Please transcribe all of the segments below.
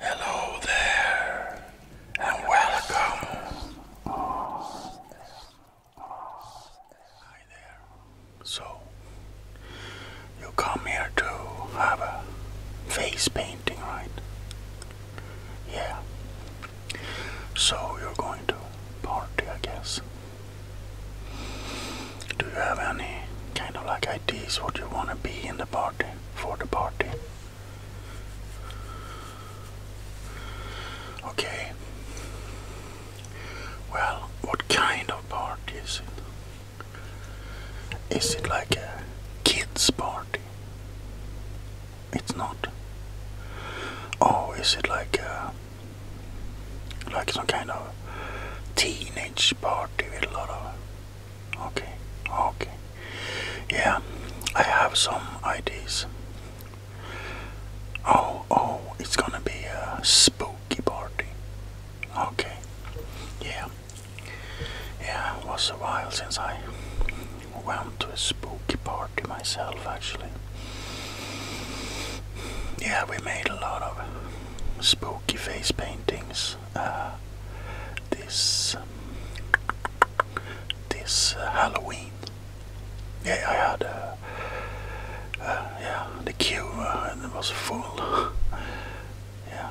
Hello there, and welcome. Hi there. So, you come here to have a face painting, right? Yeah. So, you're going to party, I guess. Do you have any kind of like ideas what you want to be in the party for the party? Okay. Well, what kind of party is it? Is it like a kids party? It's not. Oh, is it like a like some kind of teenage party with a lot of Okay, okay. Yeah, I have some ideas. Oh, oh, it's gonna be a spooky party. Okay, yeah. Yeah, it was a while since I went to a spooky party myself, actually. Yeah, we made a lot of spooky face paintings uh, this um, this uh, Halloween. Yeah, I had uh, uh, yeah the queue uh, it was full. yeah,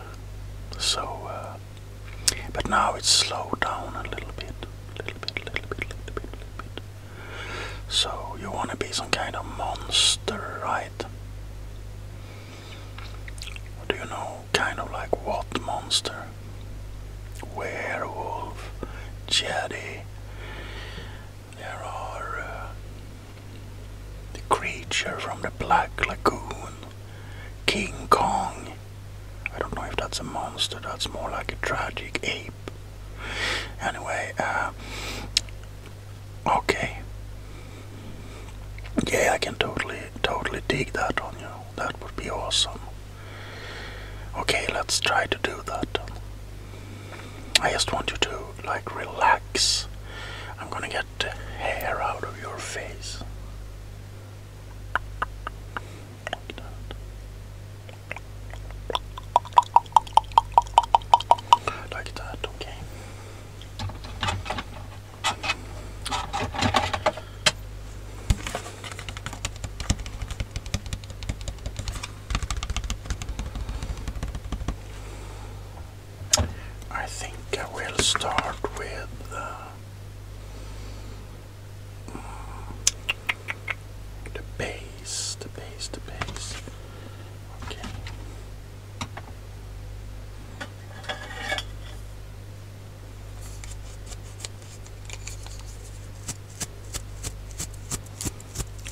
so uh, but now it's slowed down a little bit, little bit, little bit, little bit, little bit. So you want to be some kind of monster, right? do you know, kind of like what monster? Werewolf, Jedi. There are uh, the creature from the Black Lagoon, King Kong. I don't know if that's a monster, that's more like a tragic ape. Anyway, uh, Okay. Yeah, I can totally, totally dig that on you. That would be awesome. Okay, let's try to do that. I just want you to, like, relax. I'm gonna get hair out of your face. Like that. okay. I think I will start with uh, the base, the base, the base. Okay.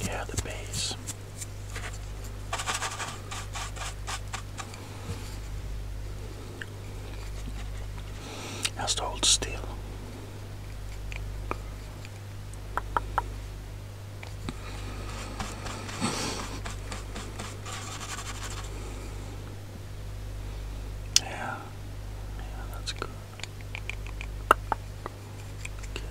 Yeah, the base. Has to hold still. Yeah, yeah, that's good. Okay. Okay.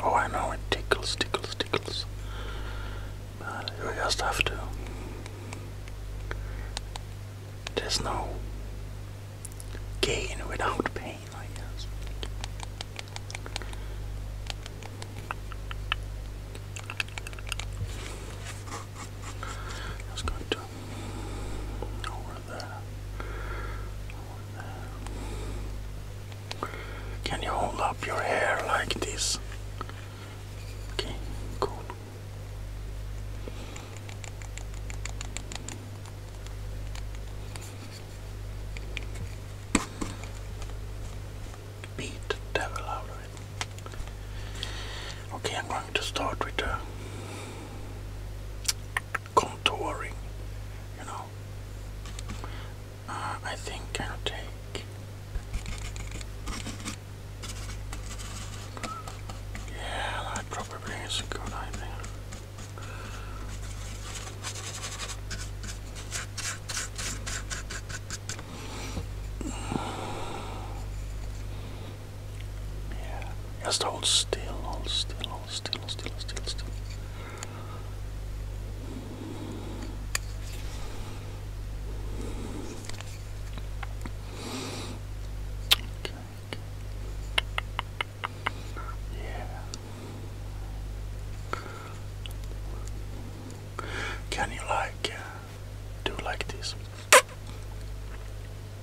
Oh, I know it tickles, tickles, tickles. But you just have to. There's no gain without pain, I guess. Just going to can you hold up your hair like this? Okay, cool. Beat the devil out of it. Okay, I'm going to start with a contouring, you know. Uh, I think I'll take. Yeah, that probably is a good idea. Yeah, just hold still, hold still, hold still, still, still, still. Okay, okay. Yeah. Can you like uh, do like this?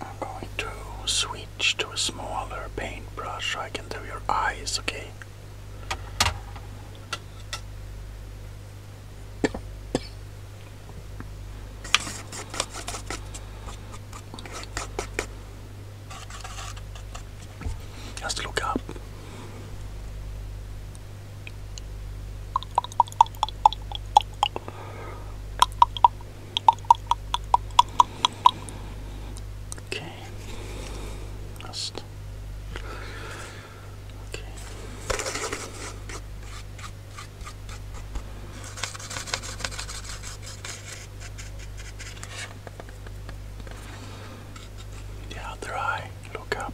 I'm going to switch to a smaller paintbrush. so I can do your eyes, okay? Just look up. Okay. Just okay. The other eye, look up.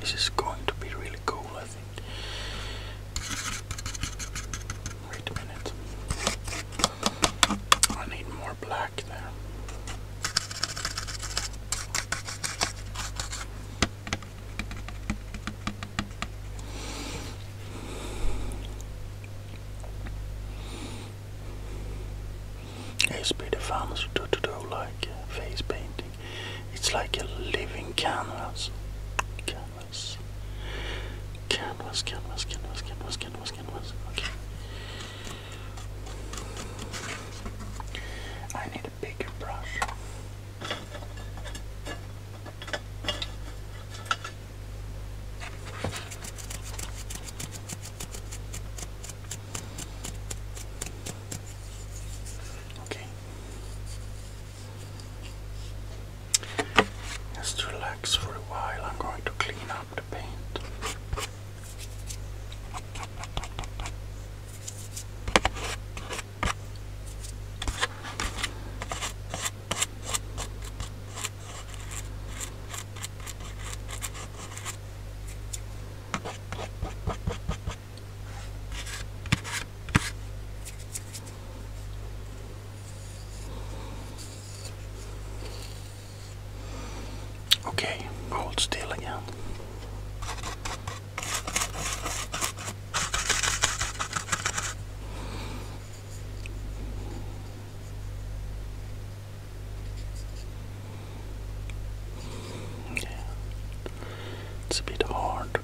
This is going to be really cool, I think. Wait a minute. I need more black there. HP defines a do-to-do like uh, face painting. It's like a living canvas. Canvas. Canvas, canvas, canvas, canvas, canvas, canvas. Okay. I need a bigger brush. Okay. Just relax for a while. I'm going to clean up the paint. Okay, hold still again. It's a bit hard to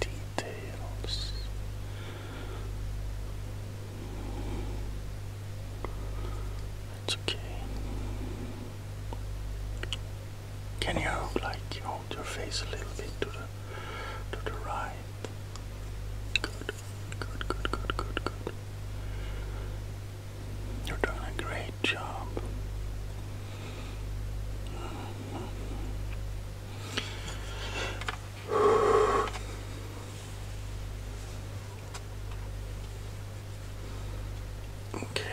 do details. It's okay. Can you like hold your face a little bit to the to the right? Good, good, good, good, good, good. You're doing a great job. Okay.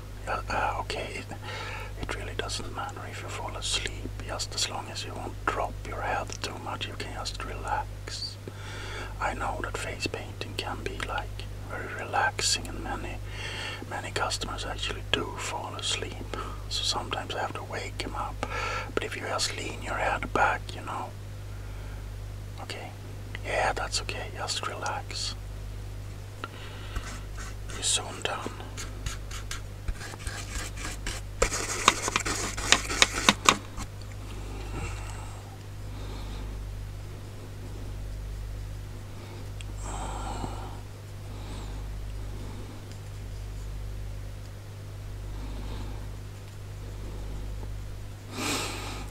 uh, uh, okay, it, really doesn't matter if you fall asleep, just as long as you won't drop your head too much, you can just relax. I know that face painting can be like very relaxing, and many, many customers actually do fall asleep. So sometimes I have to wake them up. But if you just lean your head back, you know. Okay, yeah, that's okay. Just relax. You're soon done.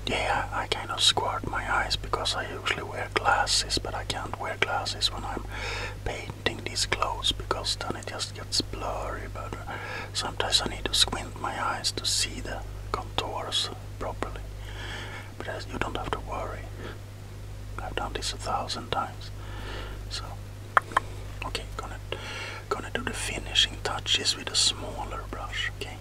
Yeah, I kind of squint my eyes because I usually wear glasses, but I can't wear glasses when I'm painting these clothes because then it just gets blurry. But uh, sometimes I need to squint my eyes to see the contours properly. But uh, you don't have to worry. I've done this a thousand times. So, okay, gonna gonna do the finishing touches with a smaller brush. Okay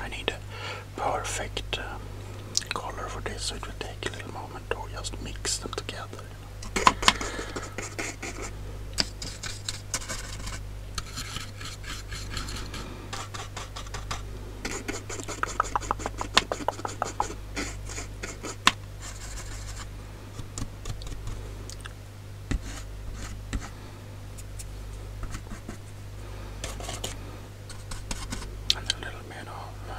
i need a perfect uh, color for this, so it will take a little moment or just mix them together. And a little bit of uh,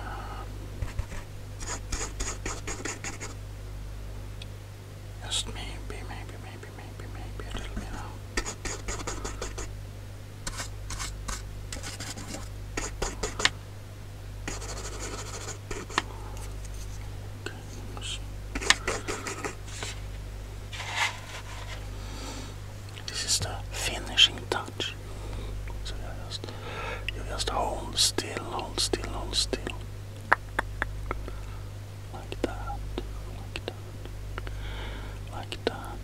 just maybe, maybe, maybe, maybe, maybe a little bit now. Okay, let's see. This is the finishing touch. So you just, you just hold still, hold still, hold still. Like that. Like that. Like that.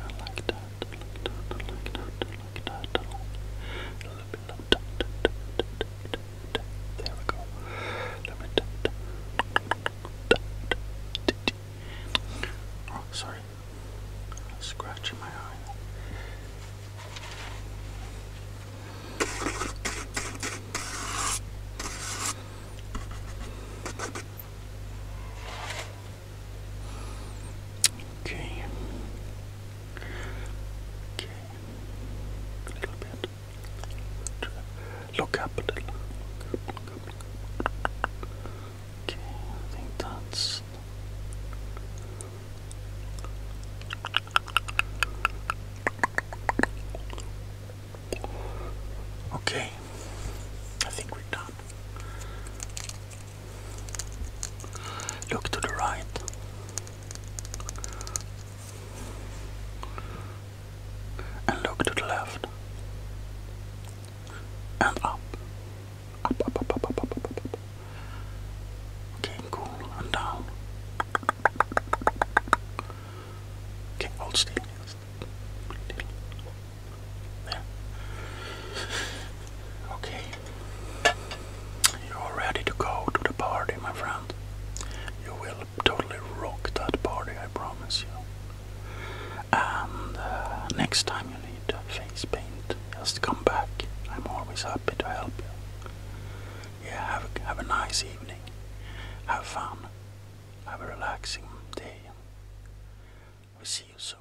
And like that. Like that. Like that. Like that. A little bit like that. There we go. A little bit that. Oh, sorry. Scratching my eye. Okay. Okay. A little bit. Look up a little. Okay, I think that's Okay, I think we're done. Look to the right. And look to the left. And up. Up, up, up, up, up, up, up, up. Okay, cool. And down. Okay, hold still. There. Okay. You're ready to go to the party, my friend. You will totally rock that party, I promise you. And uh, next time you need face paint, just come back. I'm always happy to help you. Yeah, have a, have a nice evening. Have fun. Have a relaxing day. We'll see you soon.